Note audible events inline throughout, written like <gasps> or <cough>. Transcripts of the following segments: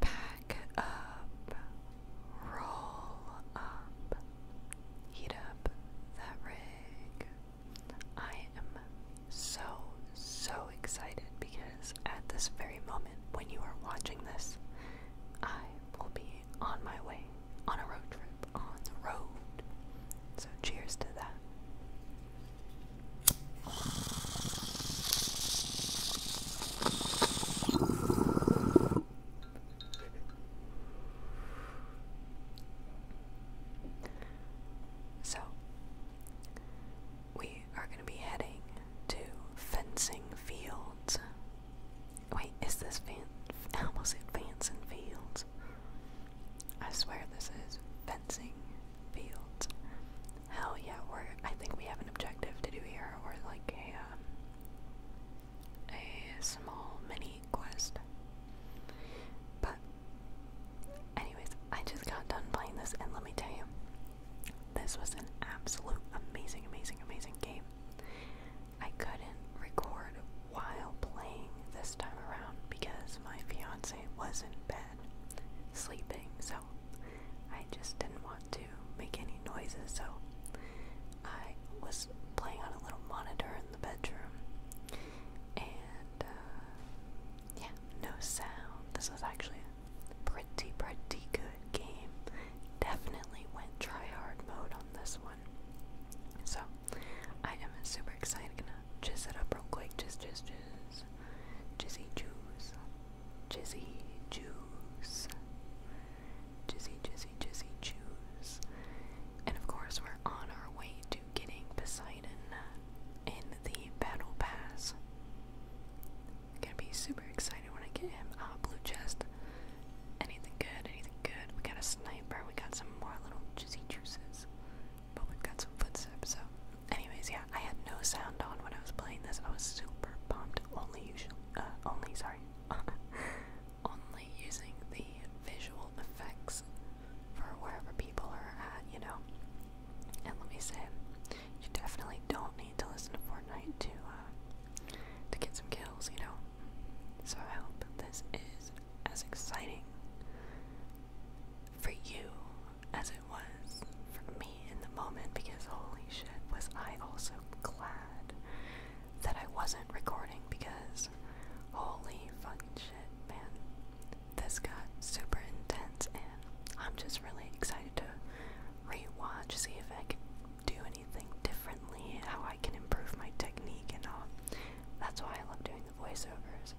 Pack up, roll up, heat up that rig. I am so, so excited because at this very moment when you are watching this, I will be on my way on a road trip on the road. So, cheers to that. So, we are going to be heading to fencing fields. Wait, is this fan? <laughs> I almost said Fanson Fields. I swear this is fencing Hell yeah, we're I think we have an objective to do here. We're like a um, a small mini quest. But anyways, I just got done playing this and let me tell you, this was an absolute amazing, amazing, amazing game. I couldn't record while playing this time around because my fiance was in bed sleeping, so I just didn't want to make any noises, so I was playing on a little monitor in the bedroom. And uh, yeah, no sound. This was actually a pretty, pretty good game. Definitely went try hard mode on this one. So I am super excited. Gonna just set up real quick. Just, just, just, Jizzy, juice. Jizzy Juice. Jizzy, Jizzy, Jizzy Juice. And of course, we're on our way to getting Poseidon in the Battle Pass. I'm gonna be super excited when I get him. Ah, blue chest. Anything good, anything good. We got a sniper, we got some more little Jizzy Juices. But we've got some footsteps, so anyways, yeah, I had no sound on when I was playing this. I was super pumped. Only usually, uh, only sorry, <laughs> only using the visual effects for wherever people are at, you know. And let me say, you definitely don't need to listen to Fortnite to uh, to get some kills, you know. So I hope this is as exciting for you as it was for me in the moment because holy shit, was I also glad that I wasn't recording because holy fucking shit, man. This got super intense and I'm just really excited to rewatch, see if I can do anything differently, how I can improve my technique and all. That's why I love doing the voiceovers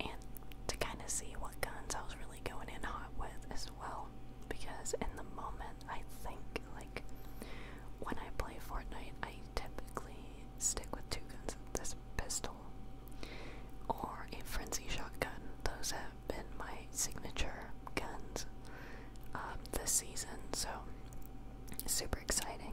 and to kind of see what guns I was really going in hot with as well. Because in the moment, I think like when I play Fortnite, I typically stick with two guns this pistol or a frenzy shotgun. Those have been my signature guns um, this season, so super exciting.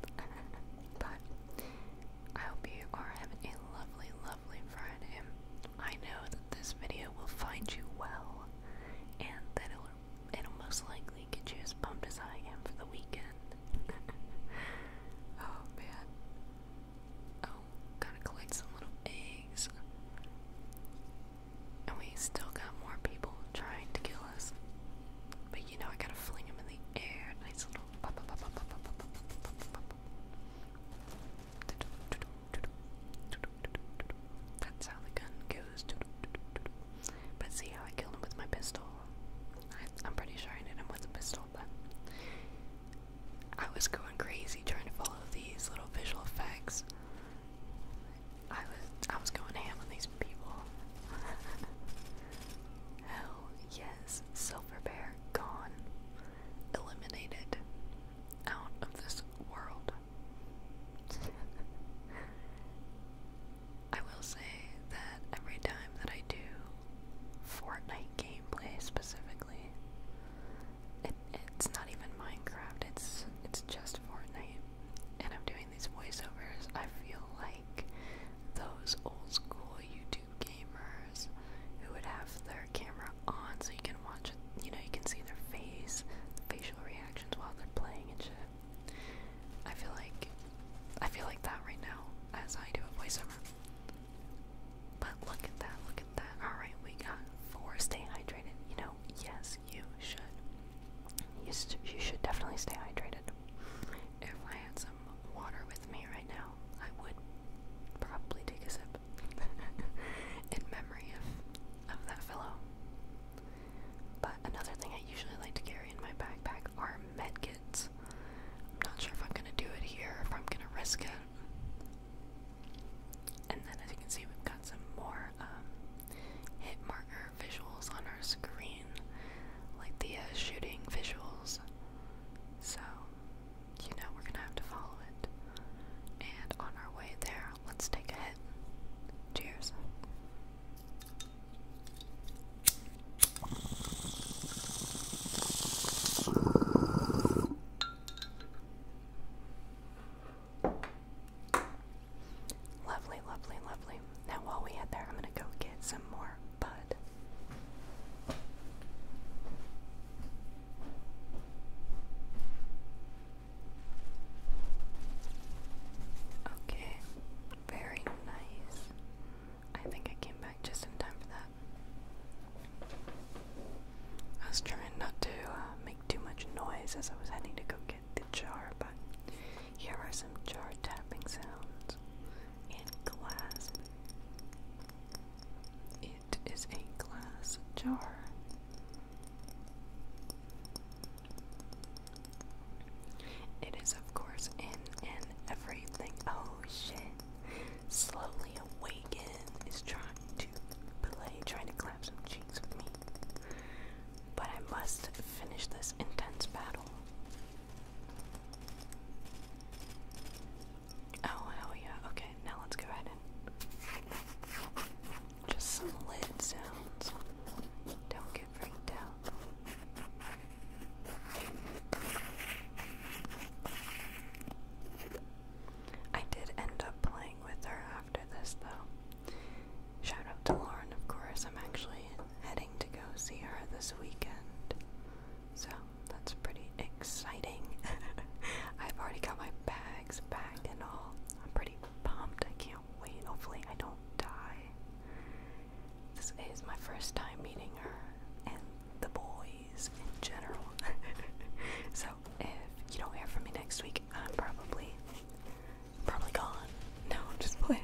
<laughs> but I hope you are having a lovely, lovely Friday. I know that this video will find you well, and that it'll, it'll most likely get you as pumped as I am for the weekend. <laughs> oh man. Oh, gotta collect some little eggs. And we still got more people trying to kill us you know I gotta fling him in the air. Nice little. That's how the gun goes. But see how I killed him with my pistol? I, am pretty sure I hit him with a pistol, but I was going crazy trying to follow these little visual effects. I was I was going ham on these people. Hell oh, yes, Silver Bear gone. Eliminated. Out of this world. <laughs> I will say that every time that I do Fortnite gameplay specifically, it, it's not even Minecraft, it's, it's just Fortnite. And I'm doing these voiceovers, I feel like those old school YouTube gamers who would have their camera on so you can watch it, you know, you can see their face, facial reactions while they're playing and shit. I feel like I feel like that right now. That's how you do a voiceover. But look at that, look at that. Alright, we got four. Stay hydrated. You know, yes, you should. You, should definitely stay hydrated. If I had some water with me right now, I would probably take a sip <laughs> in memory of, of that fellow. But another thing I usually like to carry in my backpack are med kits. I'm not sure if I'm gonna do it here, if I'm gonna risk it. And then, as you can see, we've got some more um, hit markers visuals on our screen, like the uh, shooting visuals. So, you know, we're gonna have to follow it. And on our way there, let's take a hit. Cheers. Lovely, lovely, lovely. Now, while we head there, I'm going to go get some more bud. Okay, very nice. I think I came back just in time for that. I was trying not to uh, make too much noise as I was heading to go the jar, but here are some jar tapping sounds in glass. It is a glass jar. It is, of course, in and everything. Oh shit. Slowly awaken is trying to play, trying to clap some cheeks with me but I must finish this intense battle. Oh, hell yeah. Okay, now let's go ahead and. Just some lid sounds. Don't get freaked out. I did end up playing with her after this, though. Shout out to Lauren, of course. I'm actually heading to go see her this weekend. So that's pretty exciting. <laughs> I've already got my bags packed and all. I'm pretty pumped. I can't wait. Hopefully, I don't die. This is my first time meeting her and the boys in general. <laughs> so, if you don't hear from me next week, I'm probably probably gone. No, I'm just <laughs> playing.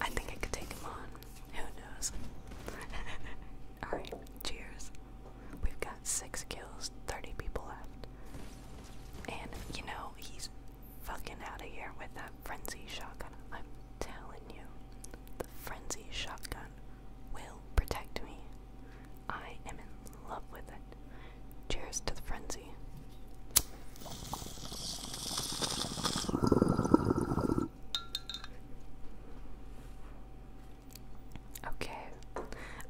I think I could take him on. Who knows? <laughs> Alright, cheers. We've got six kills, 30 people left. And, you know, he's fucking out of here with that frenzy shotgun. I'm telling you, the frenzy shotgun will protect me. I am in love with it. Cheers to the frenzy. Okay,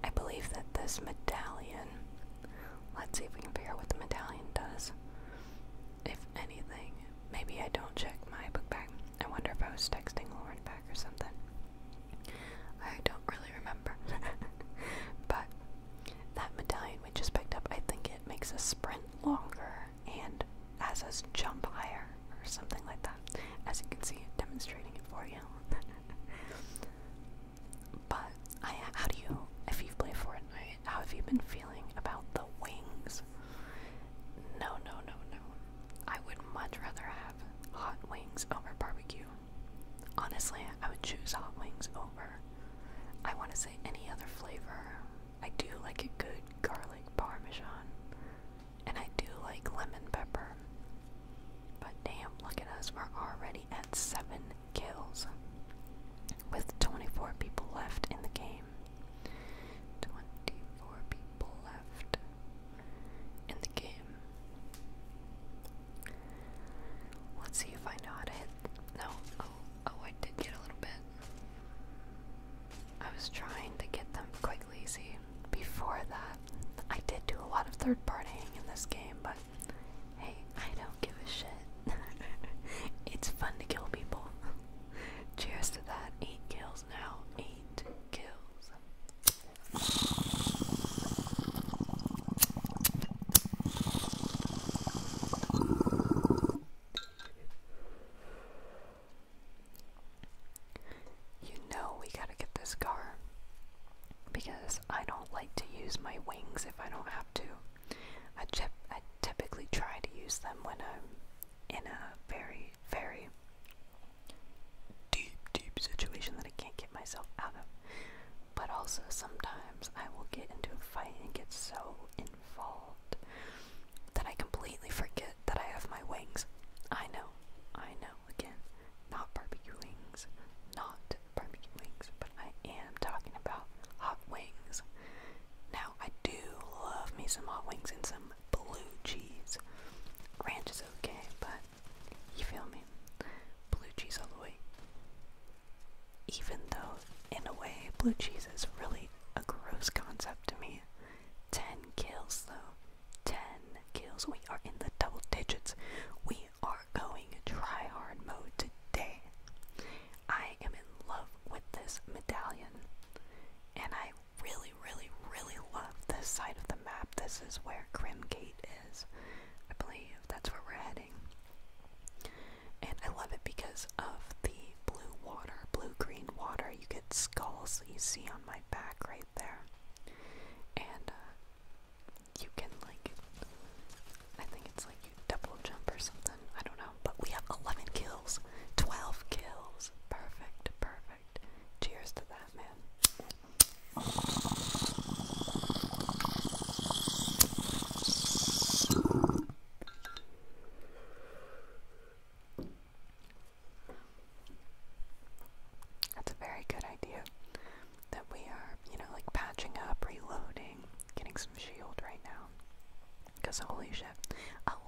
I believe that this medallion. Let's see if we can figure out what the medallion does. If anything, maybe I don't check my book bag. I wonder if I was texting Lauren back or something. I don't really remember. <laughs> but that medallion we just picked up, I think it makes a sprint longer and as a jump higher or something like that. As you can see, demonstrating it for you. <laughs> but how do you, if you've played Fortnite, how have you been feeling about the wings? No, no, no, no. I would much rather have hot wings over barbecue Honestly, I would choose hot wings over. I want to say any other flavor. I do like a good garlic parmesan, and I do like lemon pepper. But damn, look at us, we're already at 7 kills with 24 people left in the game. 24 people left in the game. Let's see if I know how to hit. No. Oh, oh, I did get a little bit. I was trying to get them quite lazy. Before that, I did do a lot of third partying in this game, but hey, I don't give a shit. <laughs> it's fun to kill people. <laughs> Cheers to that. Eight kills now. Eight kills. You know we gotta get this car because I don't like to use my wings if I don't have to. I, typically try to use them when I'm in a very, very deep, deep situation that I can't get myself out of. But also, sometimes I will get into a fight and get so involved that I completely forget that I have my wings. I know, I know, again, not barbecue wings, not barbecue wings, but I am talking about hot wings. Now, I do love me some hot wings and some blue cheese. Ranch is okay, but you feel me? Blue cheese all the way. Even though, in a way, blue cheese is really a gross concept to me. 10 kills, though. 10 kills. We are in the double digits. We are going try hard mode today. I am in love with this medallion. And I really, really, really love this side of the map. This is where Grimgate is. I believe that's where we're heading. And I love it because of the blue water, blue green water. You get skulls that you see on my back right there. And uh, you can, like, I think it's like you double jump or something. I don't know. But we have 11 kills, 12 kills. Perfect, perfect. Cheers to that, man. That's a very good idea that we are, you know, like patching up, reloading, getting some shield right now. Because holy shit,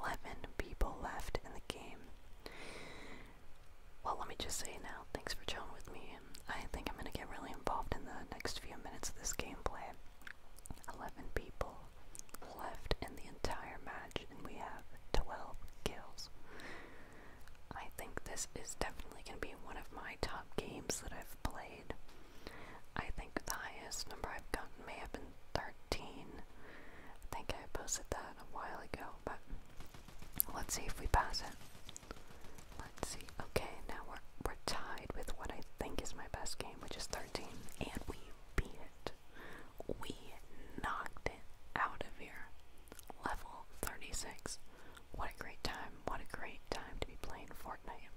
11 people left in the game. Well, let me just say now, thanks for chilling with me. I think I'm going to get really involved in the next few minutes of this gameplay. 11 people left in the entire match, and we have 12 kills. I think this is definitely going to be one of my top games that I've played. I think the highest number I've gotten may have been 13. I think I posted that a while ago, but Let's see if we pass it. Let's see. Okay, now we're we're tied with what I think is my best game, which is 13, and we beat it. We knocked it out of here. Level 36. What a great time. What a great time to be playing Fortnite.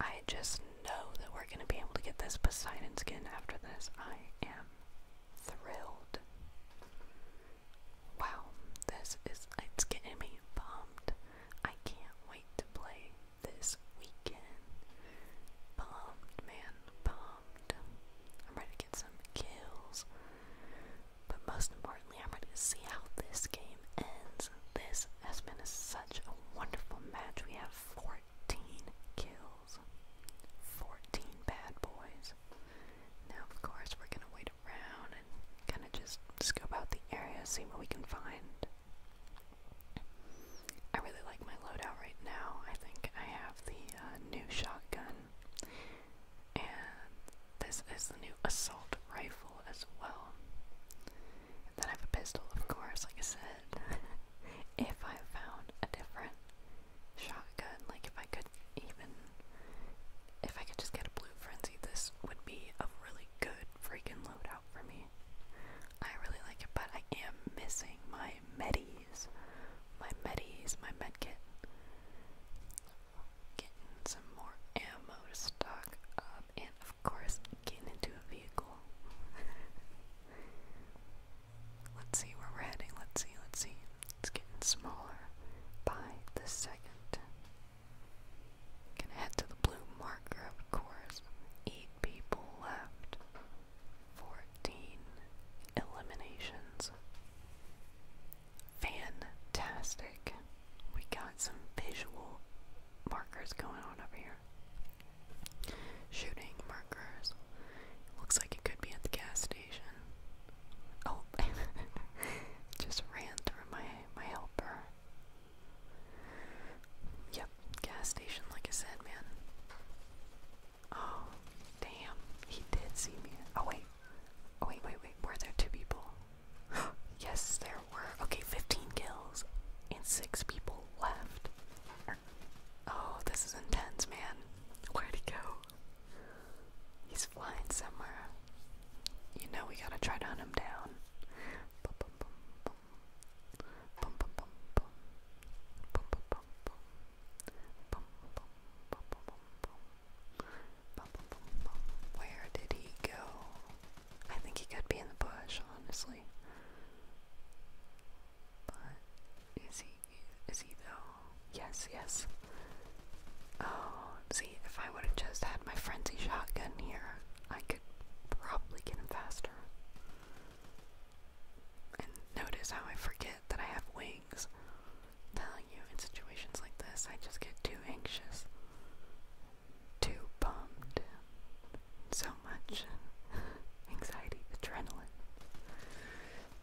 I just know that we're going to be able to get this Poseidon skin after this. I am thrilled. Wow, this is it's getting me pumped. I can't wait to play this weekend. Pumped, man, pumped. I'm ready to get some kills. But most importantly, I'm ready to see how this game ends. This has been a, such a wonderful match. We have 14 kills, 14 bad boys. Now, of course, we're gonna wait around and kind of just scope out the area, see what we can find. I really like my loadout right now. I think I have the uh, new shotgun, and this is the new assault rifle as well. And then I have a pistol, of course, like I said. <laughs> if I found a different shotgun. Like if I could even if I could just get a blue frenzy, this would be a really good freaking loadout for me. I really like it, but I am missing my medis. My medis, my med kit. Getting some more ammo to stock up and of course getting into a vehicle. <laughs> Let's see where we're heading. Let's see, let's see. It's getting smaller by the second. Gonna head to the blue marker, of course. Eight people left. Fourteen eliminations. Fantastic. We got some visual markers going on over here. Shooting markers, Looks like it could be at the gas station. Oh, <laughs> just ran through my my helper. Yep, gas station. Like I said, man. Oh, damn! He did see me. Oh wait, oh wait, wait, wait. Were there two people? <gasps> yes, there were. Okay, 15 kills and six people left. Oh, this is intense, man. where did he go? He's flying somewhere. You know we gotta try to hunt him down. Where did he go? I think he could be in the bush, honestly. But is he is he though? Yes, yes. Oh, see, if I would have just had my frenzy shotgun here, I could probably get him faster. And notice how I forget that I have wings. Telling you, in situations like this, I just get too anxious, too bummed, so much <laughs> anxiety, adrenaline.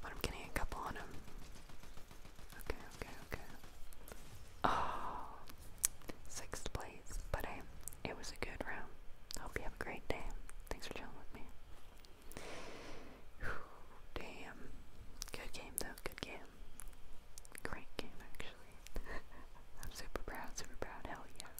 But I'm getting a couple on him. Okay, okay, okay. Oh, sixth place. But it was a good round. Hope you have a great day. Thanks for chilling with me. damn. Good game, though. Good game. Great game, actually. <laughs> I'm super proud, super proud. Hell yeah.